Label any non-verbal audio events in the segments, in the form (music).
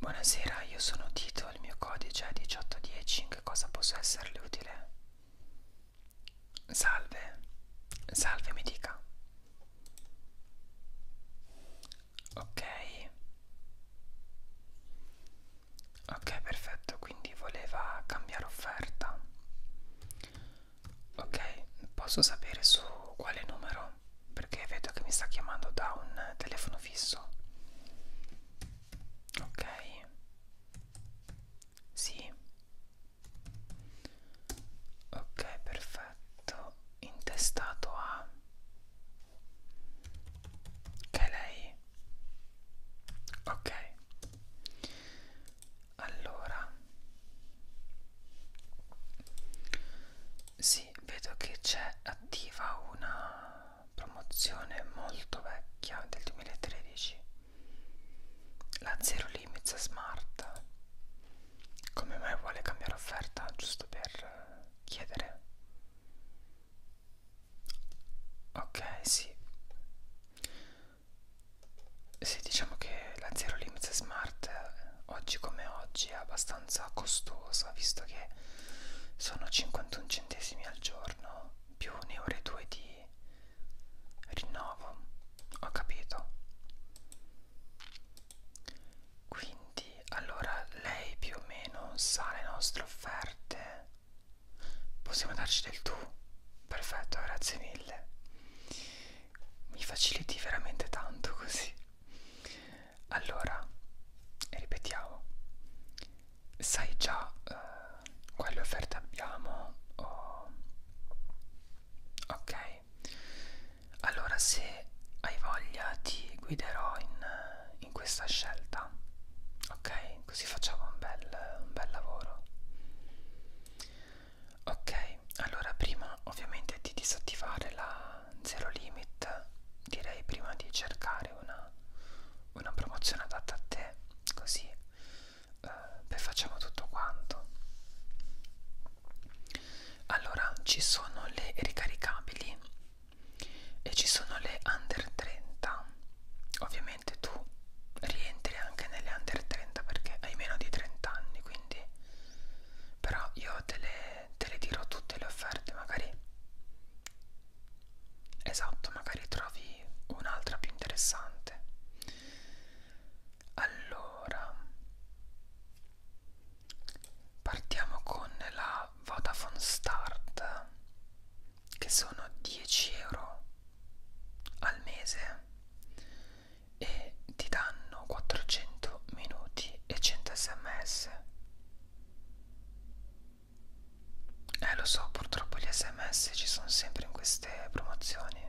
Buonasera, io sono Tito, il mio codice è 1810, in che cosa posso esserle utile? Salve, salve mi dica. Ok. Ok, perfetto, quindi voleva cambiare offerta. Ok, posso sapere su quale numero? Perché vedo che mi sta chiamando da un telefono fisso. Ok. Sì. Ok, perfetto. Intestato a che lei. Ok allora sì vedo che c'è attiva una promozione molto vecchia del 2013 la Zero Limits Smart come mai vuole cambiare offerta giusto per chiedere ok sì sì diciamo che la Zero Limits Smart eh, oggi come oggi è abbastanza costosa visto che sono 51 centesimi al giorno più 1,2 euro 2 di rinnovo ho capito quindi allora lei più o meno sa le nostre offerte possiamo darci del tu perfetto grazie mille mi faciliti veramente tanto così allora ripetiamo sai già eh, quale offerte abbiamo oh. ok allora se hai voglia ti guiderò in, in questa scelta ok così facciamo un bel, un bel lavoro ok allora prima ovviamente di disattivare la zero limit direi prima di cercare una, una promozione adatta a te così eh, beh, facciamo tutto quanto allora ci sono le ricaricabili e ci sono le under 30 ovviamente ovviamente tu rientri anche nelle under 30 perché hai meno di 30 anni quindi però io te le, te le dirò tutte le offerte magari esatto magari trovi un'altra più interessante allora partiamo con la Vodafone Start che sono 10 euro al mese e ti danno 400 minuti e 100 sms eh lo so purtroppo gli sms ci sono sempre in queste promozioni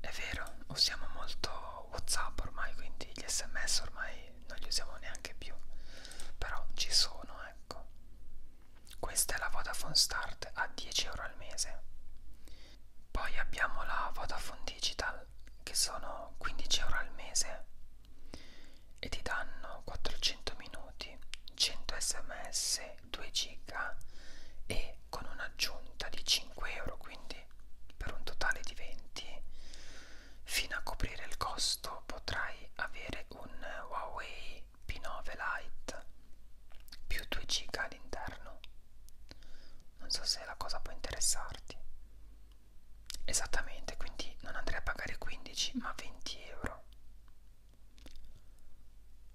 è vero usiamo molto whatsapp ormai quindi gli sms ormai non li usiamo neanche più però ci sono ecco questa è la Vodafone Start a 10 euro al mese poi abbiamo la Vodafone Digital che sono 15 euro al mese e ti danno 400 minuti, 100 sms, 2 giga e con un'aggiunta di 5 euro quindi per un totale di 20 fino a coprire il costo potrai avere un Huawei P9 Lite più 2 giga all'interno non so se la cosa può interessarti esattamente quindi non andrei a pagare 15 ma 20 euro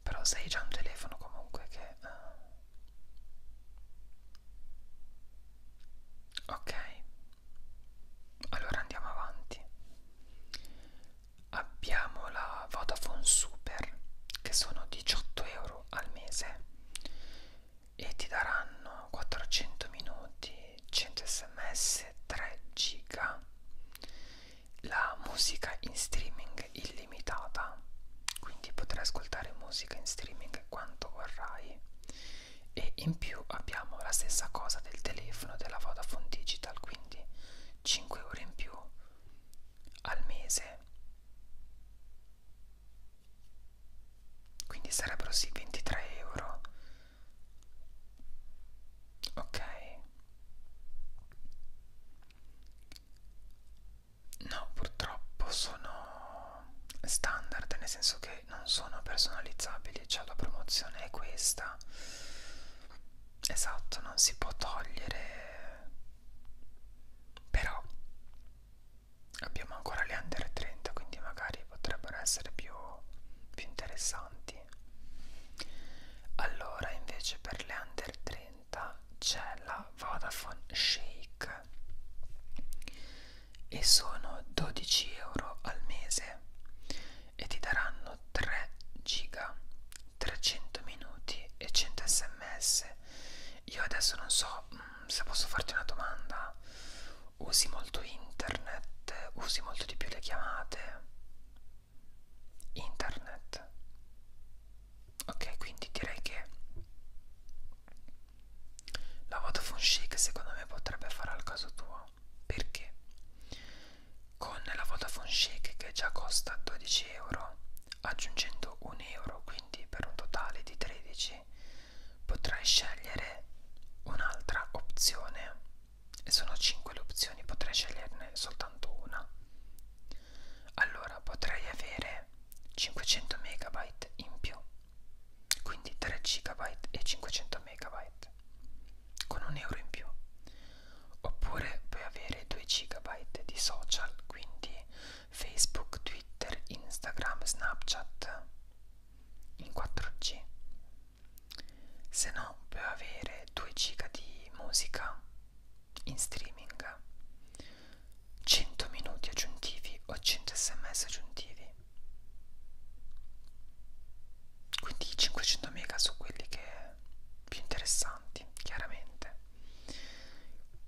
però sei già un telefono comunque che uh... ok allora andiamo avanti abbiamo la Vodafone Super che sono 18 euro al mese e ti daranno 400 minuti 100 sms 3 giga la musica in streaming illimitata quindi potrai ascoltare musica in streaming quanto vorrai e in più abbiamo la stessa cosa del telefono della Vodafone Digital quindi 5 euro in più al mese quindi sarebbero sì 23 euro ok no purtroppo sono standard nel senso che non sono personalizzabili cioè la promozione è questa esatto non si può togliere però abbiamo ancora le under 30 quindi magari potrebbero essere più, più interessanti allora invece per le under 30 c'è la Vodafone Shake e sono 12 euro al mese e ti daranno 3 giga 300 minuti e 100 sms io adesso non so mh, mm, se posso farti una domanda usi molto internet usi molto di più le chiamate internet ok quindi direi che la Vodafone Chic secondo me potrebbe fare al caso tuo perché con la Vodafone Chic che già costa 12 euro aggiungendo un euro quindi per un totale di 13 potrai scegliere un'altra opzione e sono 5 le opzioni potrai sceglierne soltanto una allora potrai avere 500 megabyte in più quindi 3 gigabyte e 500 megabyte con un euro in più oppure puoi avere 2 GB di social, quindi Facebook, Twitter, Instagram, Snapchat in 4G. Se no, puoi avere 2 GB di musica in streaming, 100 minuti aggiuntivi o 100 sms aggiuntivi. Quindi 500 mega su quelli che più interessanti, chiaramente.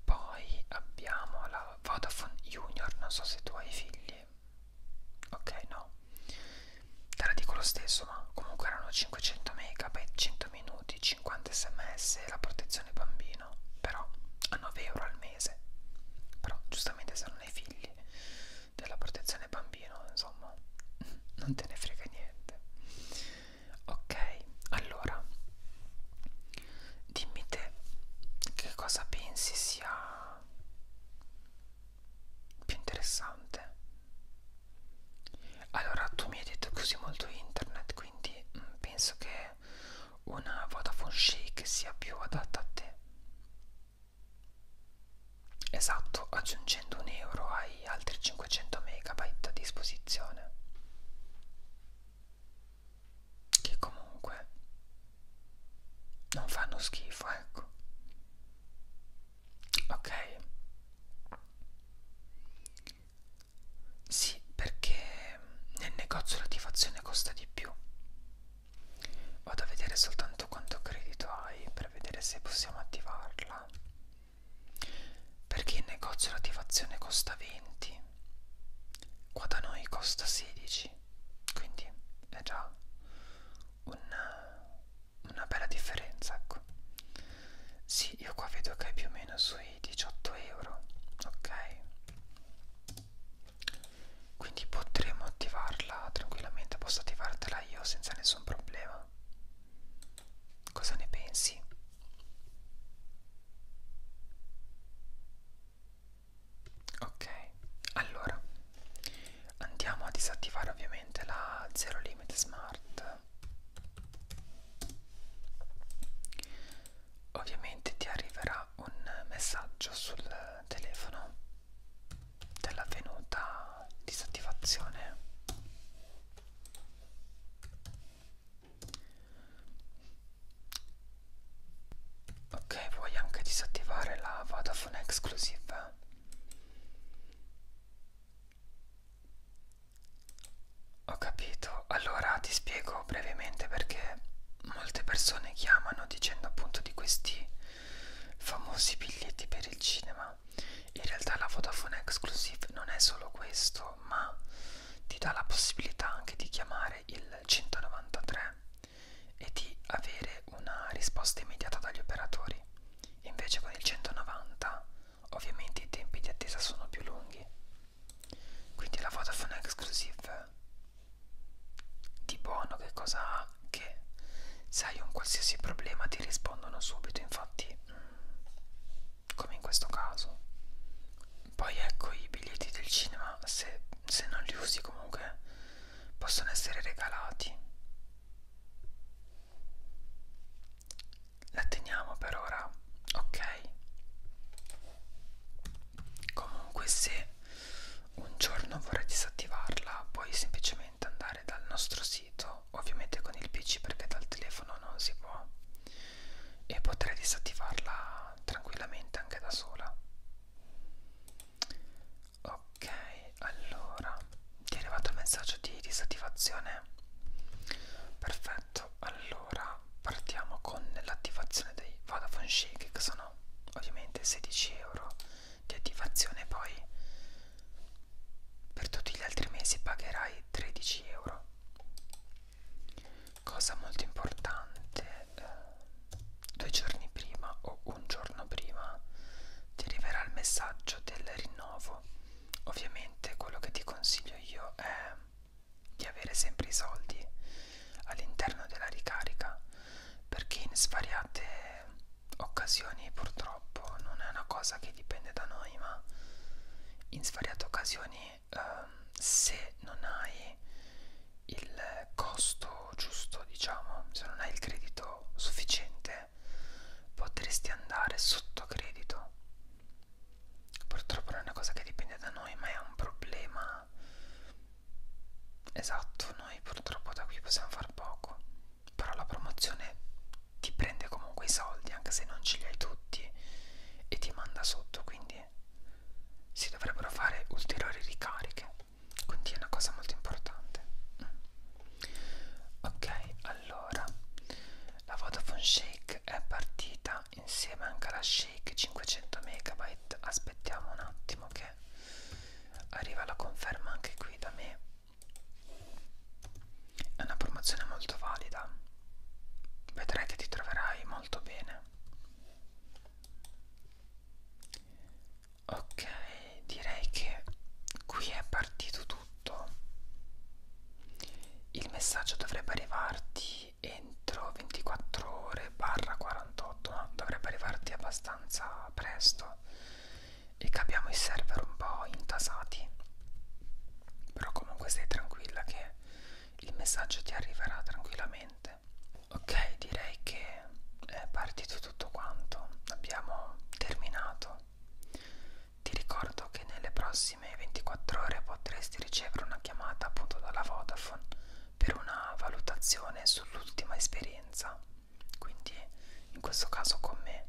Poi abbiamo la Vodafone Junior, non so se tu hai figli. Ok, no. Te la dico lo stesso, ma comunque erano 500 MB, 100 minuti, 50 sms e la protezione bambino. Però a 9 euro al mese. Però giustamente se non hai figli della protezione bambino, insomma, (laughs) non te ne frega niente ok allora dimmi te che cosa pensi sia più interessante allora tu mi hai detto che usi molto internet quindi mh, mm, penso che una Vodafone Shake sia più adatta a te esatto aggiungendo un euro ai hai altri 500 MB a disposizione che comunque non fanno schifo ecco ok sì perché nel negozio l'attivazione costa di più vado a vedere soltanto quanto credito hai per vedere se possiamo attivarla perché in negozio l'attivazione costa 20 qua da noi costa 16 quindi è già una, una bella differenza ecco sì io qua vedo che è più o meno sui 18 euro ok quindi potremo attivarla tranquillamente posso attivartela io senza nessun problema Cosa ne pensi? Ok, allora andiamo a disattivare ovviamente la Zero Limit Smart. Ovviamente ti arriverà un messaggio sul telefono dell'avvenuta disattivazione ok vuoi anche disattivare la Vodafone Exclusive ho capito allora ti spiego brevemente perché molte persone chiamano dicendo appunto di questi famosi biglietti per il cinema in realtà la Vodafone Exclusive non è solo questo video ma ti dà la possibilità anche di chiamare il 193 e di avere una risposta immediata dagli operatori invece con il 190 ovviamente i tempi di attesa sono più lunghi quindi la Vodafone Exclusive di buono che cosa ha? Che se hai un qualsiasi problema ti rispondono subito infatti mh, mm, come in questo caso poi ecco i biglietti del cinema se, se non li usi comunque possono essere regalati la teniamo per ora ok comunque se un giorno vorrei disattivarla puoi semplicemente andare dal nostro sito telefono ovviamente con il pc perché dal telefono non si può e potrei disattivarla tranquillamente anche da sola ok allora ti è arrivato il messaggio di disattivazione perfetto allora partiamo con l'attivazione dei Vodafone Shake che sono ovviamente 16 euro di attivazione poi per tutti gli altri mesi pagherai 13 euro cosa molto importante eh, due giorni prima o un giorno prima ti arriverà il messaggio del rinnovo ovviamente quello che ti consiglio io è di avere sempre i soldi all'interno della ricarica perché in svariate occasioni purtroppo non è una cosa che dipende da noi ma in svariate occasioni ehm, se non hai il costo giusto diciamo se non hai il credito sufficiente potresti andare sotto credito purtroppo non è una cosa che dipende da noi ma è un problema esatto noi purtroppo da qui possiamo far poco però la promozione ti prende comunque i soldi anche se non ce li hai tutti e ti manda sotto quindi si dovrebbero fare ulteriori ricariche quindi è una cosa molto importante ok allora la Vodafone Shake è partita insieme anche alla Shake 500 megabyte aspettiamo un attimo che arriva la conferma anche qui da me è una promozione molto valida vedrai che ti troverai molto bene ok direi che qui è partito tutto il messaggio dovrebbe arrivarti entro 24 ore barra 48 no? dovrebbe arrivarti abbastanza presto e che abbiamo i server un po' intasati però comunque stai tranquilla che il messaggio ti arriverà tranquillamente ok direi che è partito tutto quanto abbiamo terminato ti ricordo che nelle prossime 24 ore potresti ricevere una chiamata appunto dalla Vodafone per una valutazione sull'ultima esperienza quindi in questo caso con me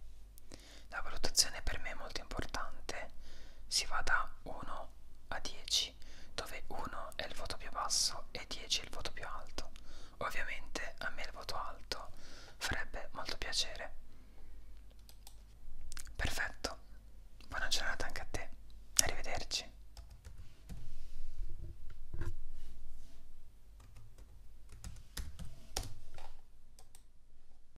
la valutazione per me è molto importante, si va da 1 a 10, dove 1 è il voto più basso e 10 è il voto più alto. Ovviamente a me il voto alto farebbe molto piacere. Perfetto, buona giornata anche a te, arrivederci.